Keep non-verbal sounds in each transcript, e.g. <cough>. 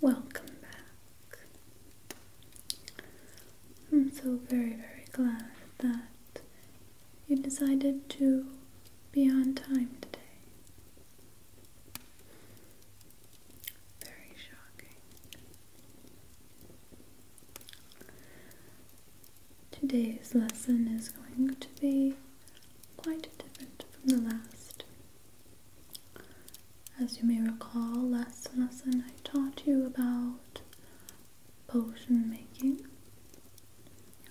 Welcome back. I'm so very, very glad that you decided to be on time today. Very shocking. Today's lesson is going to be quite different from the last. As you may recall, last lesson I taught you about potion making,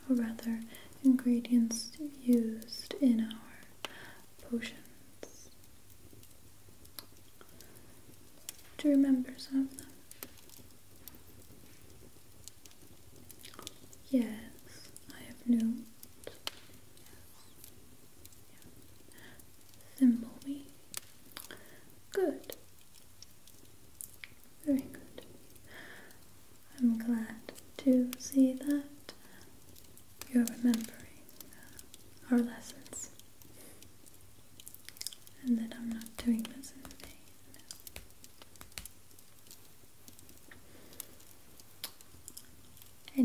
or rather, ingredients used in our potions you remember some of them. Yes, I have known. Yes. Good. Very good. I'm glad to see that you're remembering uh, our lessons and that I'm not doing this in vain.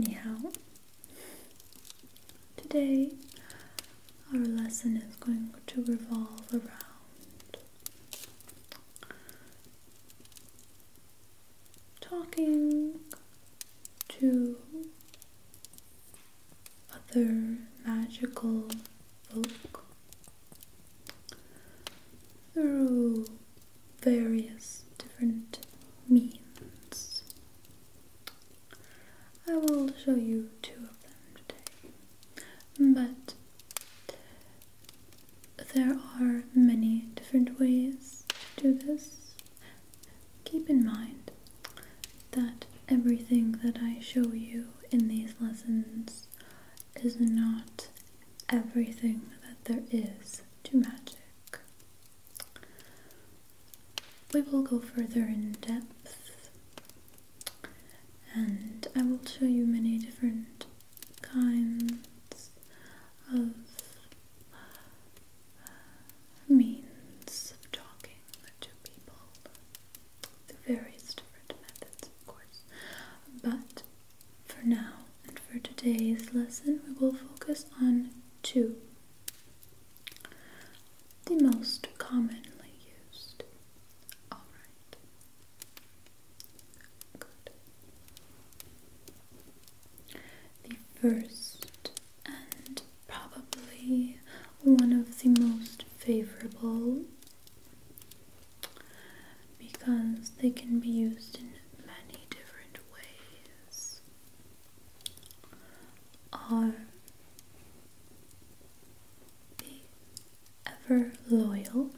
Anyhow, today our lesson is going to revolve around talking to other magical folk through various different means. I will show you two of them today, but there are many different ways to do this, Keep in mind that everything that I show you in these lessons is not everything that there is to magic. We will go further in depth and I will show you many different kinds of means of talking to people through various different methods, of course. But for now and for today's lesson, we will focus on two. The most commonly used. Alright. Good the first and probably one of the most favorable because they can be used in many different ways are the ever loyal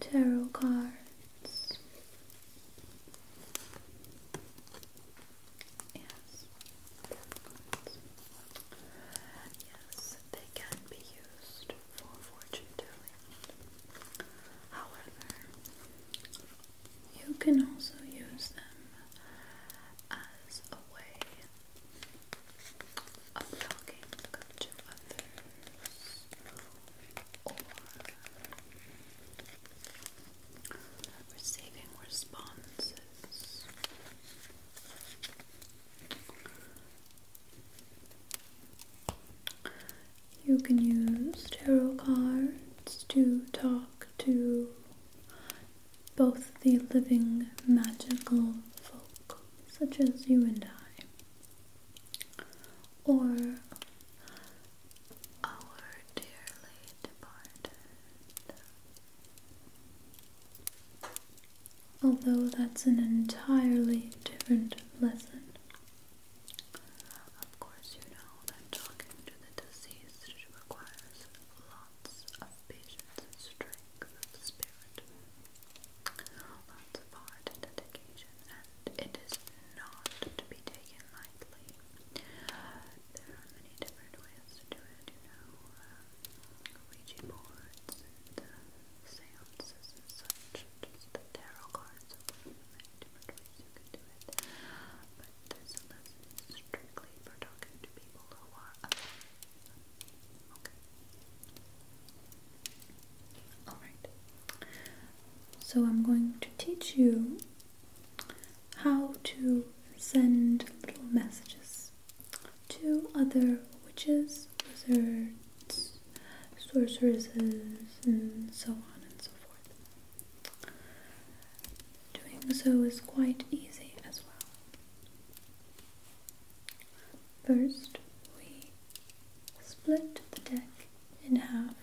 tarot cards Yes. Yes, they can be used for fortune telling. However, you can also use them as a way of talking to others or receiving responses. You can use tarot cards to talk to both the living magical folk, such as you and I, or our dearly departed. Although that's an entirely different lesson. Of course, you know that talking to the deceased requires lots of patience strength spirit, lots of heart and dedication and it is not to be taken lightly. There are many different ways to do it, you know, uh, Ouija boards seances such, just the tarot cards, so many different ways you can do it. this lesson is strictly for talking to people who are Okay. Alright. So I'm going to teach you how to send little messages to other witches, wizards, sorceresses, and so on and so forth. Doing so is quite easy as well. First, we split the deck in half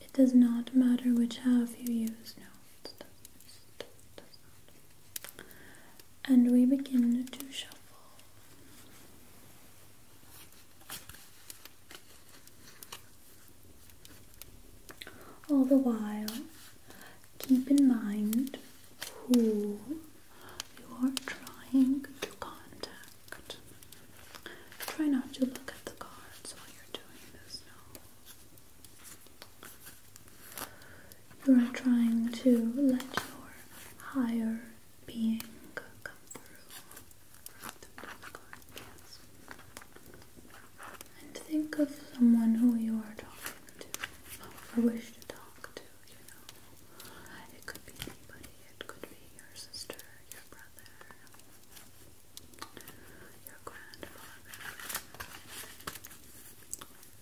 it does not matter which half you use. No, And we begin to shuffle. All the while, keep in mind who you are trying to contact. Try not to look at the cards while you're doing this now. You are trying to let your higher being come through. And think of someone who you are talking to or wish to talk to, you know. It could be anybody, it could be your sister, your brother your grandfather,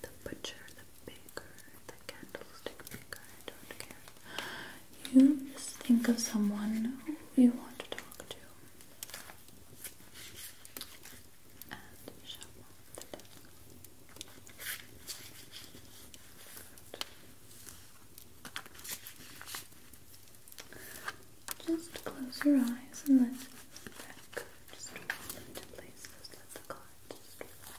the butcher, the baker, the candlestick maker, I don't care. You just think of someone you want to talk to. Just close your eyes and let that just fall into place. Just let the just fall.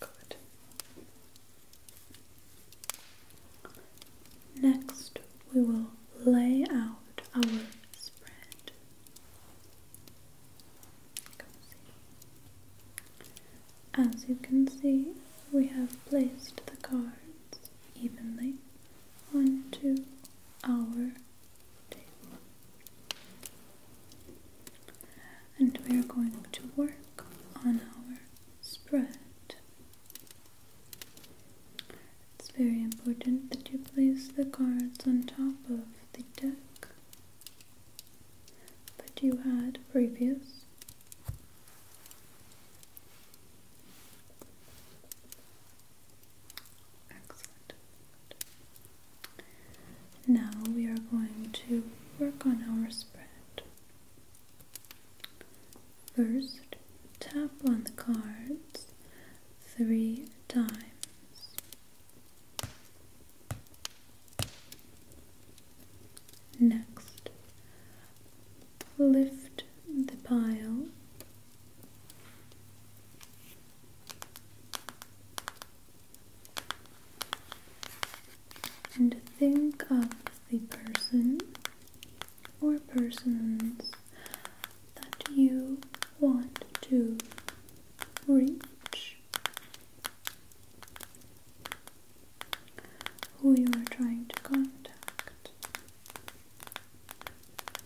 Good. Next, we will lay out our spread. As you can see, we have placed the cards evenly onto our and we are going to work on our spread. It's very important that you place the cards on top of the deck that you had previous. Excellent. Now we are going to work on our spread. First, tap on the cards three times. Next, lift the pile and think of the person or persons that you want to reach, who you are trying to contact.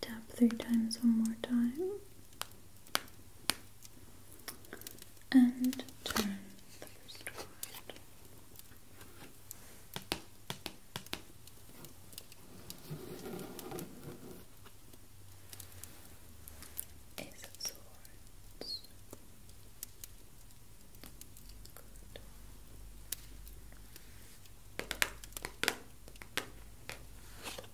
Tap three times one more time and turn the first card. Ace of Swords.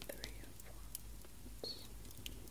three of wands. King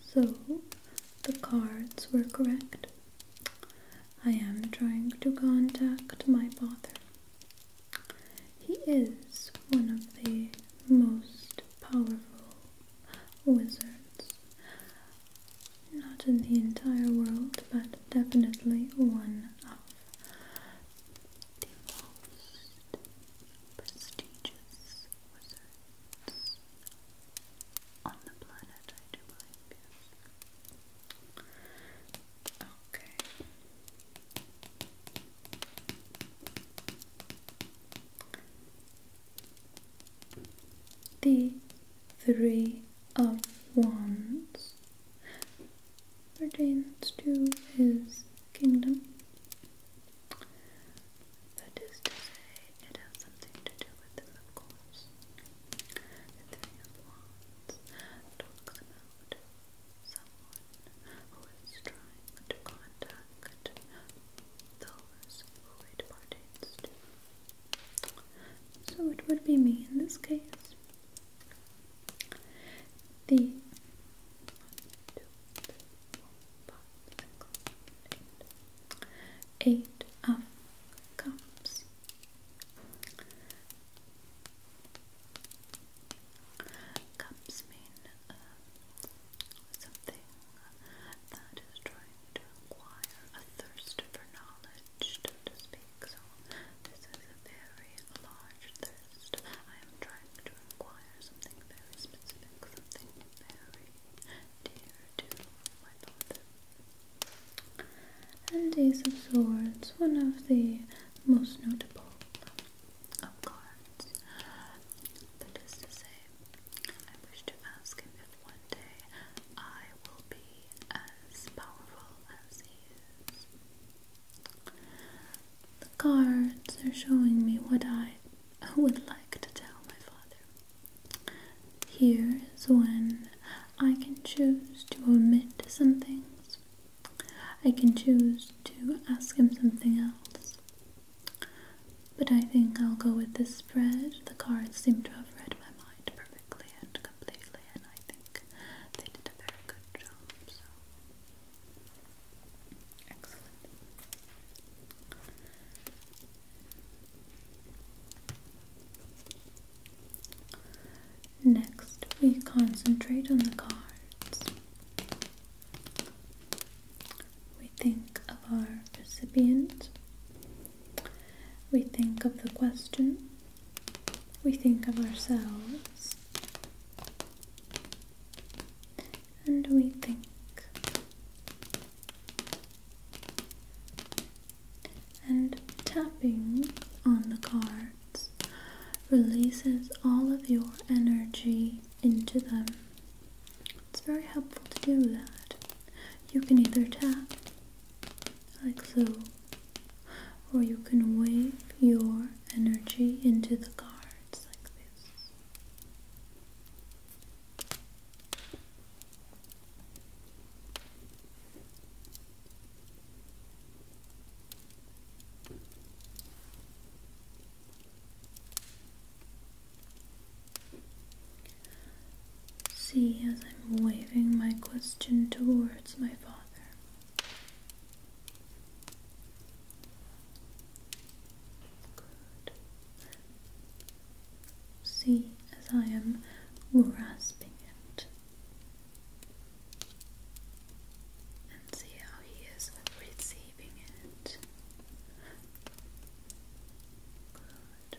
So the cards were correct. I am trying to contact my father. He is one of the most powerful wizards. Not in the entire world, but definitely one of the most prestigious on the planet, I do believe, Okay. The Three of Wands pertains to his kingdom. That is to say, it has something to do with them, of course. The Three of Wands talks about someone who is trying to contact those who it pertains So it would be me in this case. The Eight of cups. Cups mean uh, something that is trying to acquire a thirst for knowledge, to speak. So this is a very large thirst. I am trying to acquire something very specific, something very and Ace of Swords, one of the most notable of cards. That is to say, I wish to ask him if one day I will be as powerful as he is. The cards are showing me what I would like to tell my father. Here is when I can choose to omit some things. I can choose to ask him something else. But I think I'll go with this spread. The cards seem to have read my mind perfectly and completely, and I think they did a very good job. Excellent. Next, we concentrate on the cards. We think of our recipient. We think of the question. We think of ourselves. And we think and tapping on the cards releases all of your energy into them. It's very helpful to do that. You can either tap like so, or you can wave your energy into the cards like this. See as I'm waving my question towards my father. See as I am grasping it. And see how he is receiving it. Good.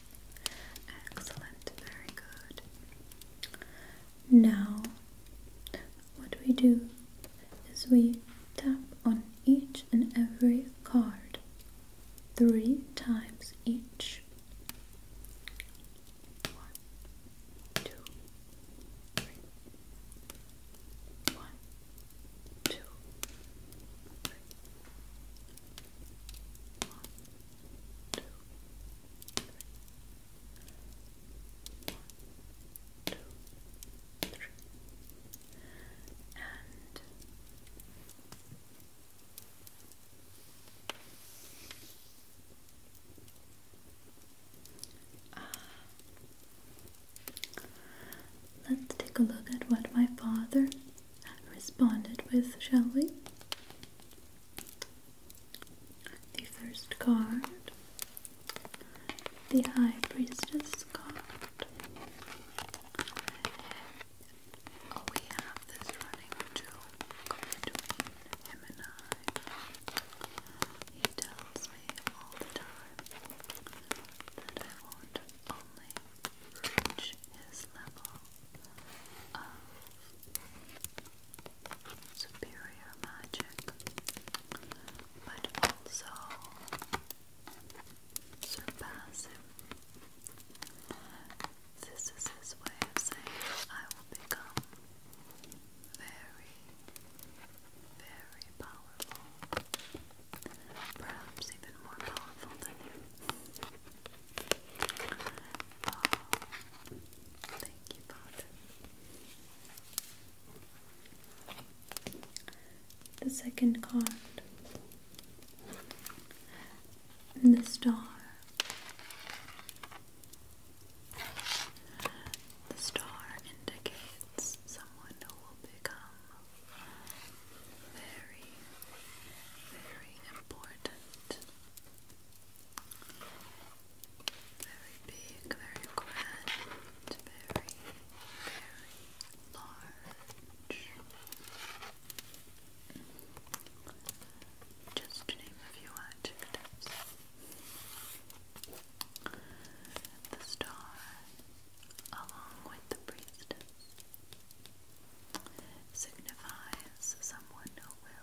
Excellent, very good. Now, what we do is we tap on each and every card three times each. Uh, let's take a look at what my father responded with, shall we? The first card, the High Priestess card. Oh, we have this running joke between him and I. He tells me all the time that I will only reach his level superior magic, but also surpass him. This is his way of saying, I will become very, very powerful. Perhaps even more powerful than you thank you, Father. The second card, and the star. The star indicates someone who will become very, very important very big, very grand, very, very large. Just to name a few adjectives. The star, along with the priestess, signifies someone will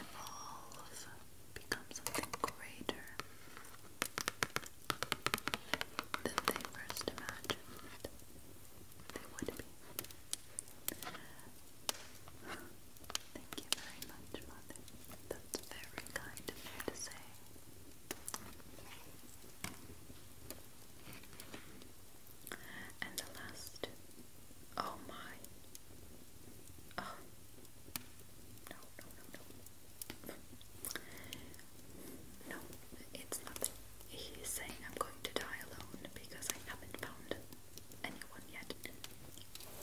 evolve, become something greater than they first imagined they would be. Thank you very much, Mother. That's very kind of you to say. And the last. Oh my. Oh. No, no, no, no. No, it's nothing. He's saying I'm going to die alone because I haven't found anyone yet.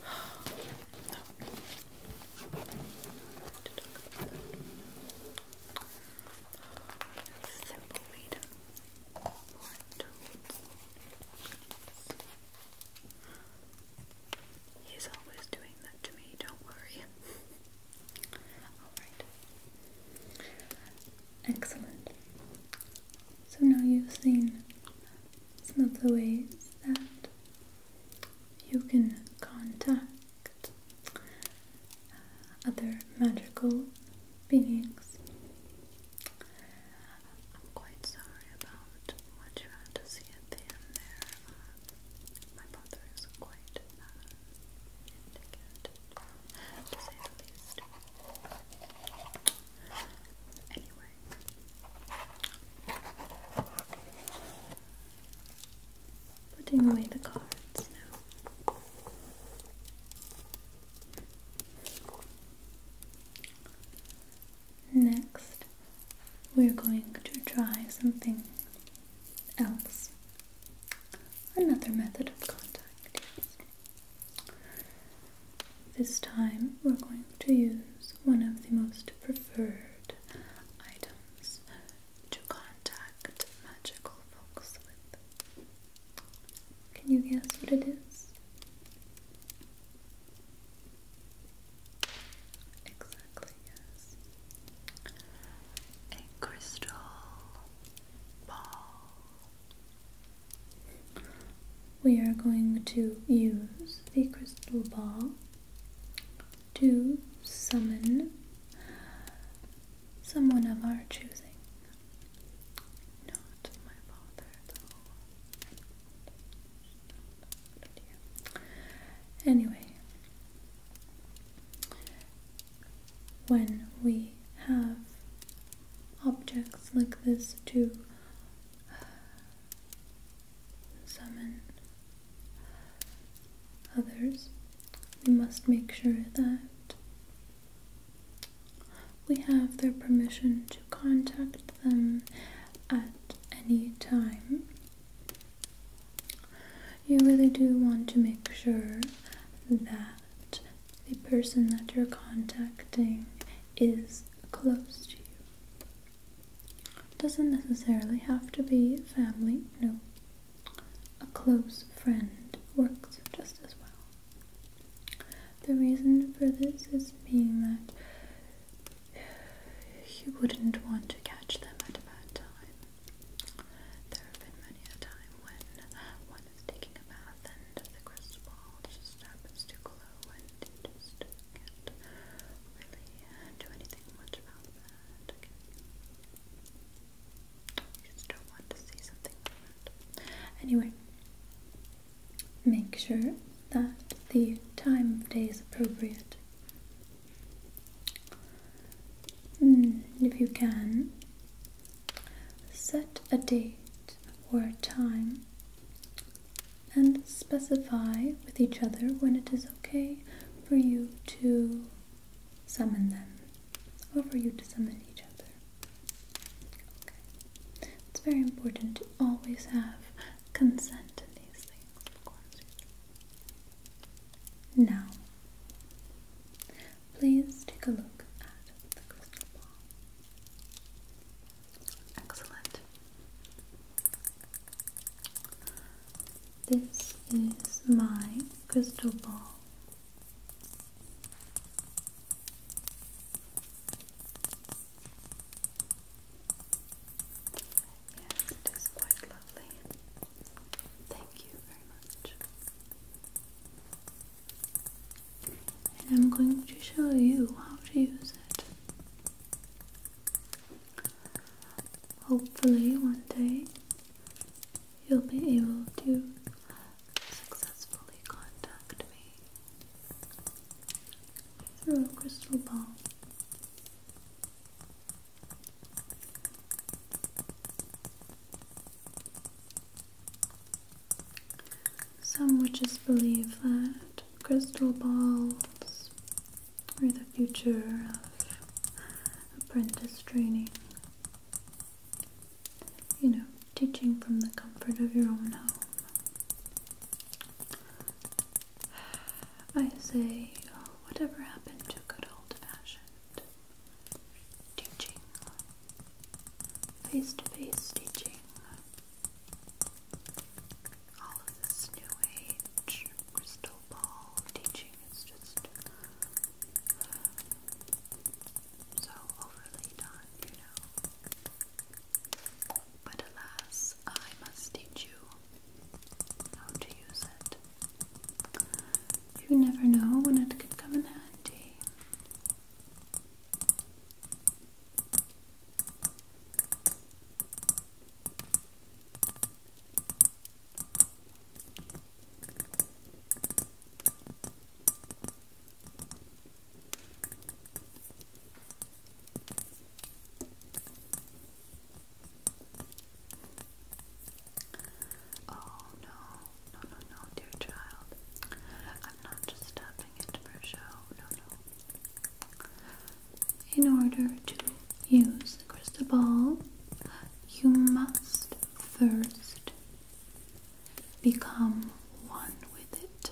<sighs> no. <sighs> Simple weed. He's always doing that to me, don't worry. Alright. Excellent. So now you've seen some of the ways that you can contact uh, other magical beings. I'm quite sorry about what you had to see at the end there. Uh, my brother is quite uh, indignant, to say the least. Anyway. Putting away the cards now. Next, we're going to try something else. Another method of contact. This time, we're going to use one of the most preferred items to contact magical folks with. Can you guess what it is? Exactly, yes. A crystal ball. We are going to use the crystal ball to summon someone of our choosing. Not my father, though. Anyway, when we have objects like this to uh, summon others, we must make sure that we have their permission to contact them at any time. You really do want to make sure that the person that you're contacting is close to you. Doesn't necessarily have to be family, no. A close friend works just as well. The reason for this is being that you wouldn't want to catch them at a bad time. There have been many a time when one is taking a bath and the crystal ball just happens to glow and you just can't really do anything much about that. Anyway, make sure that the time of day is appropriate. Mm, if you can, set a date or a time and specify with each other when it is okay for you to summon them over you to summon each other. Okay. It's very important to always have consent in these things, Now, please take a look at the crystal ball. Excellent. This is my crystal ball it is quite lovely. Thank you very much. And I'm going to show you how to use it. Hopefully, one day you'll be able to successfully contact me through a crystal ball. Some witches believe that crystal balls are the future of apprentice training you know, teaching from the comfort of your own home. I say, oh, whatever happened to good old fashioned teaching, face to face teaching, all of this new age crystal ball teaching is just so overly done, you know. But alas, I must teach you how to use it. You never know when it could come in handy. Oh no, no, no, no, dear child. I'm not just stopping it for show, no, no. In order to use the crystal ball, you must first become one with it.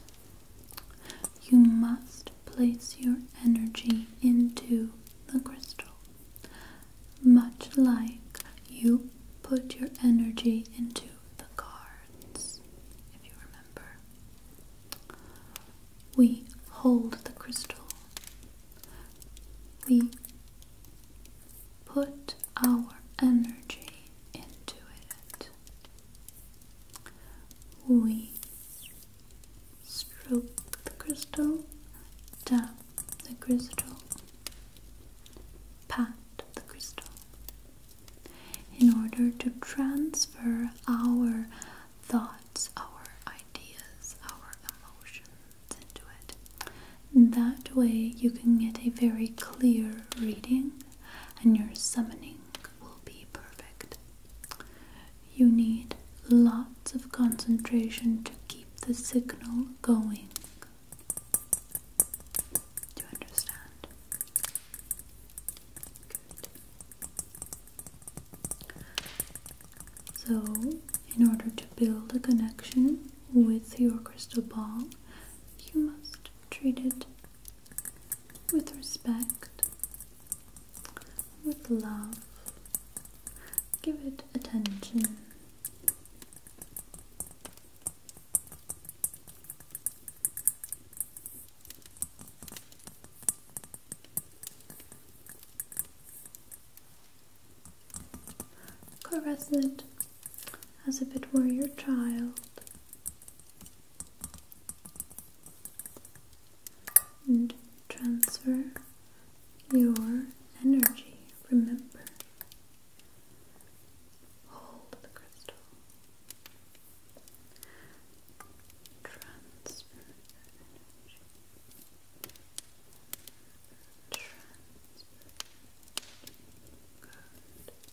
You must place your energy into the crystal, much like you put your energy into the cards, if you remember. We hold the crystal. We put our energy into it. We stroke the crystal, tap the crystal, pat the crystal in order to transfer our thoughts, our ideas, our emotions into it. That way, you can get a very clear reading, and your summoning will be perfect. You need lots of concentration to keep the signal going. Do you understand? Good. So, in order to build a connection with your crystal ball, you must treated with respect, with love. Give it attention. Caress as if it were your child. And transfer your energy, remember. Hold the crystal. Transfer energy. Transfer. Good.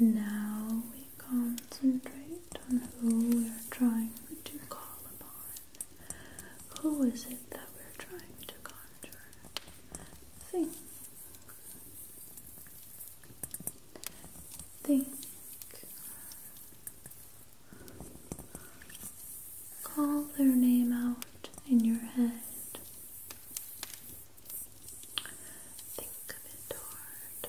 Now we concentrate on who we're trying to call upon. Who is it that we're trying to contact? thing. Think. Call their name out in your head. Think of it hard.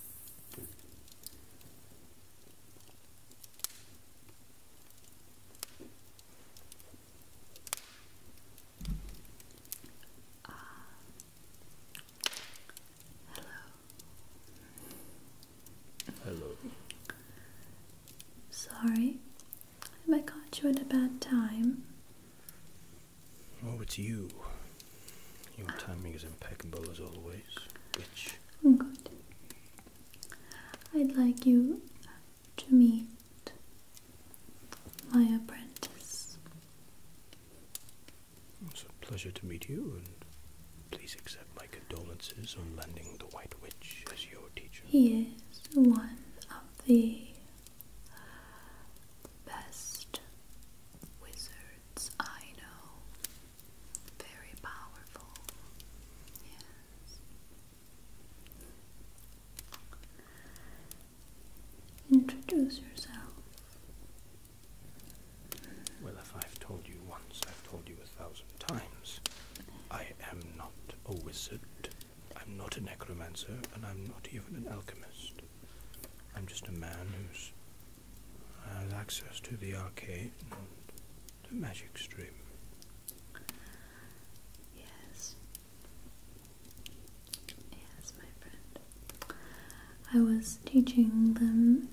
Uh, hello. Hello. Sorry if I caught you at a bad time. Oh, it's you. Your timing is impeccable as always, bitch. Oh, Good. I'd like you to meet my apprentice. It's a pleasure to meet you, and please accept my condolences on landing the White Witch as your teacher. He is one of the best wizards I know. Very powerful. Yes. Introduce yourself. Well, if I've told you once, I've told you a thousand times. I am not a wizard, I'm not a necromancer, and I'm not even an alchemist. I'm just a man who's has access to the arcade and the magic stream. Yes. Yes, my friend. I was teaching them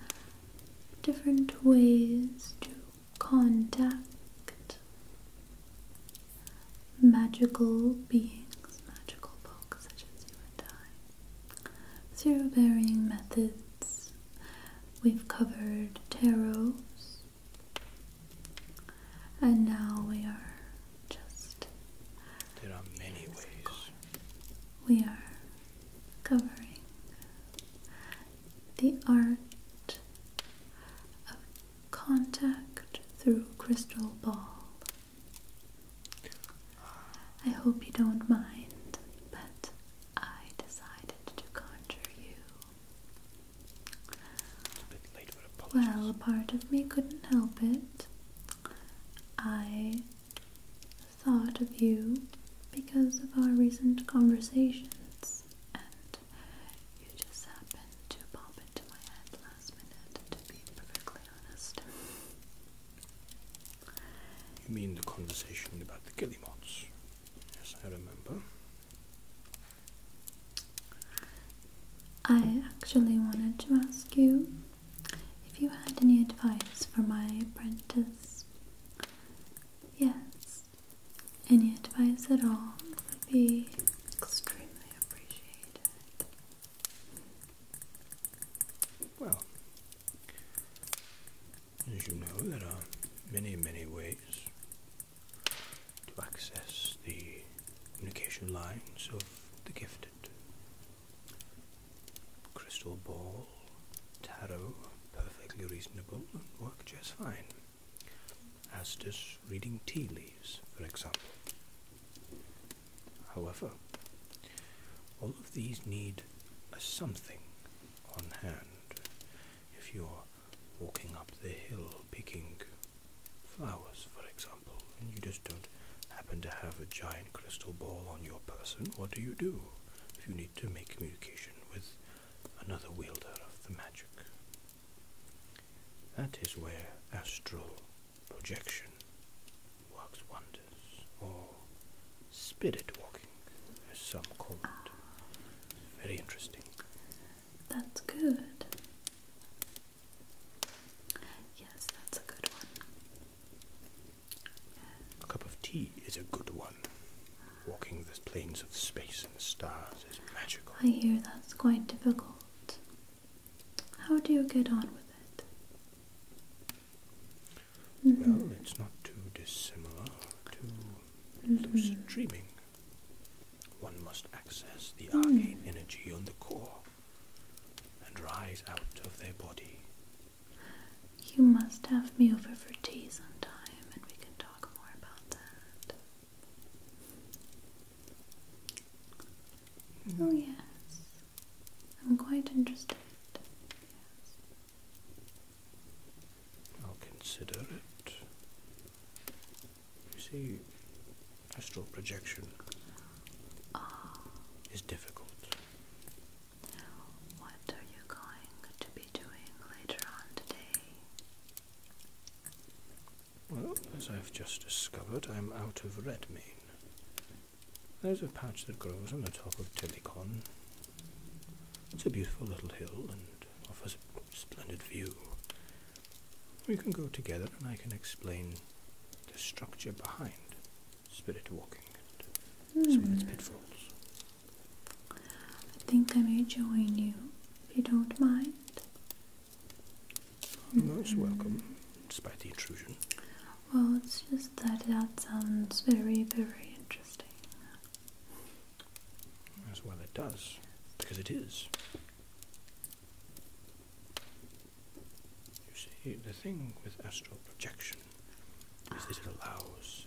different ways to contact magical beings, magical folks such as you and I. Through varying methods. We've covered tarot, and now we are just. There are many ways. We are covering the art of contact through crystal ball. I hope you don't mind, but I decided to conjure you. Well, a part of me couldn't help it. I thought of you because of our recent conversations, and you just happened to pop into my head last minute, to be perfectly honest. You mean the conversation about the guillemots? Yes, I remember. I actually wanted to ask you if you had any advice for my apprentice. Yes, any advice at all would be extremely appreciated. Well, as you know, there are many, many ways to access the communication lines of the gifted. Crystal ball, tarot, perfectly reasonable and work just fine. As does reading tea leaves, for example. However, all of these need a something on hand if you're walking up the hill picking flowers, for example, and you just don't happen to have a giant crystal ball on your person, what do you do if you need to make communication with another wielder of the magic? That is where astral projection works wonders, or spirit walking, as some call it. Very interesting. That's good. Yes, that's a good one. A cup of tea is a good one. Walking the plains of space and stars is magical. I hear that's quite difficult. How do you get on with it? Mm-hmm. Well, it's not too dissimilar to lucid dreaming. Mm-hmm. One must access the mm. arcane energy on the core and rise out of their body. You must have me over for tea sometime, and we can talk more about that. Oh, yes. I'm quite interested. I'll consider it. You see, astral projection is difficult. What are you going to be doing later on today? Well, as I've just discovered, I'm out of Redmayne. There's a patch that grows on the top of Telecon. It's a beautiful little hill and offers a splendid view. We can go together and I can explain the structure behind spirit walking and some of its pitfalls. I think I may join you, if you don't mind. Most welcome despite the intrusion. Well, it's just that that sounds very, very interesting. As well, it does, because it is. You see, the thing with astral projection is that it allows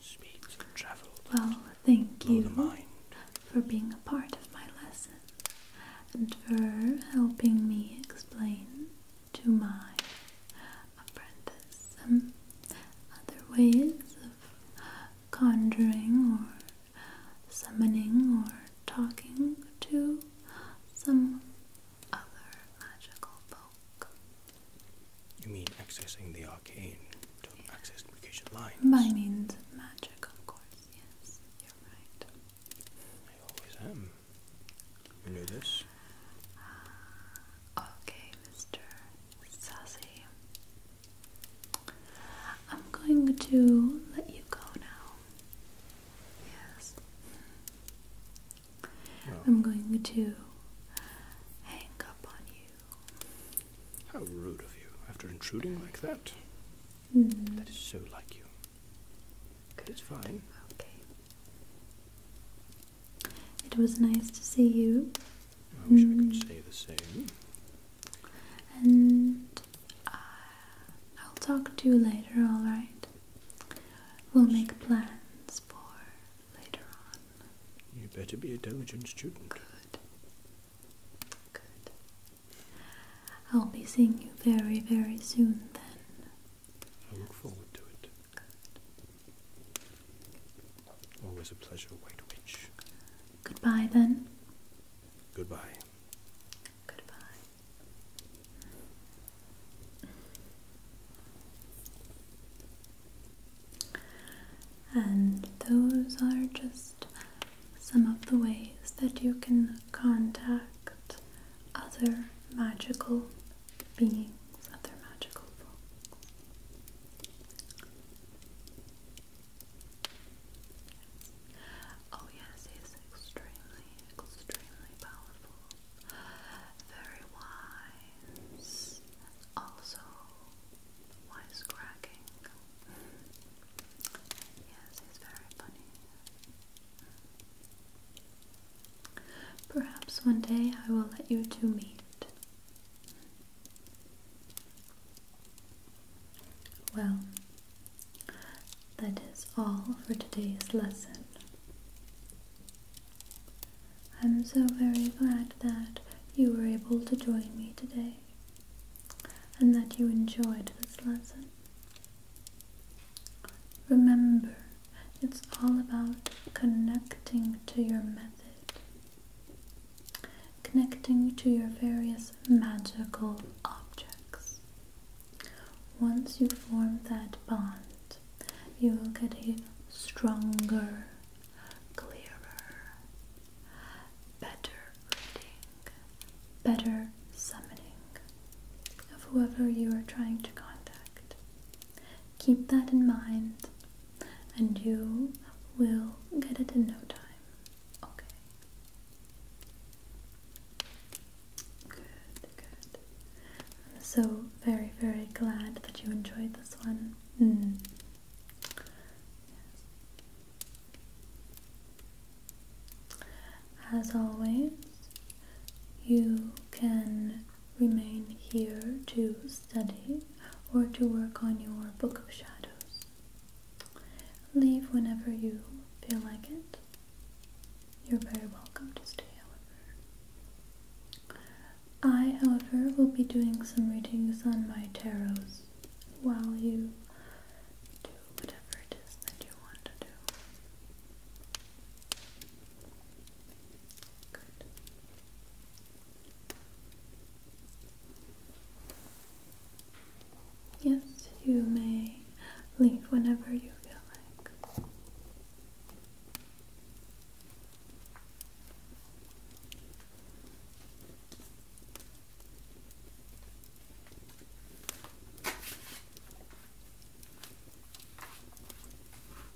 speed of travel. Well, thank you for being a part of my lesson and for helping me explain to my apprentice some um, other ways of conjuring or summoning or talking to some other magical folk. You mean accessing the arcane to access communication lines? By means of magic, of course, yes. You're right. I always am. You knew this? Okay, Mr. Sassy. I'm going to let you go now. Yes. I'm going to hang up on you. How rude of you after intruding like that. Mm. That is so like you. Good. It's fine. Okay. It was nice to see you. I wish mm. I could mm. say the same. And I'll talk to you later, alright? We'll make plans for later on. You better be a diligent student. Good. Good. I'll be seeing you very, very soon then. I look forward to it. Always a pleasure, White Witch. Goodbye, then. Goodbye. Goodbye. And those are just some of the ways that you can contact other magical beings of their magical Oh yes, he extremely, extremely powerful, very wise, also wisecracking. Yes, he's very funny. Perhaps one day I will let you two meet. Well, that is all for today's lesson. I'm so very glad that you were able to join me today and that you enjoyed this lesson. Remember it's all about connecting to your method, connecting to your various magical objects. Once you form that bond, you will get a stronger, clearer, better reading, better summoning of whoever you are trying to contact. Keep that in mind, and you will get it in no time. Okay. Good, good. so very, very glad that you enjoyed this one. Hmm. As always, you can remain here to study or to work on your book of shadows. Leave whenever you feel like it. You're very welcome to stay, however. I, however, will be doing some readings on my tarots while you do whatever it is that you want to do. Yes, you may leave whenever you feel like.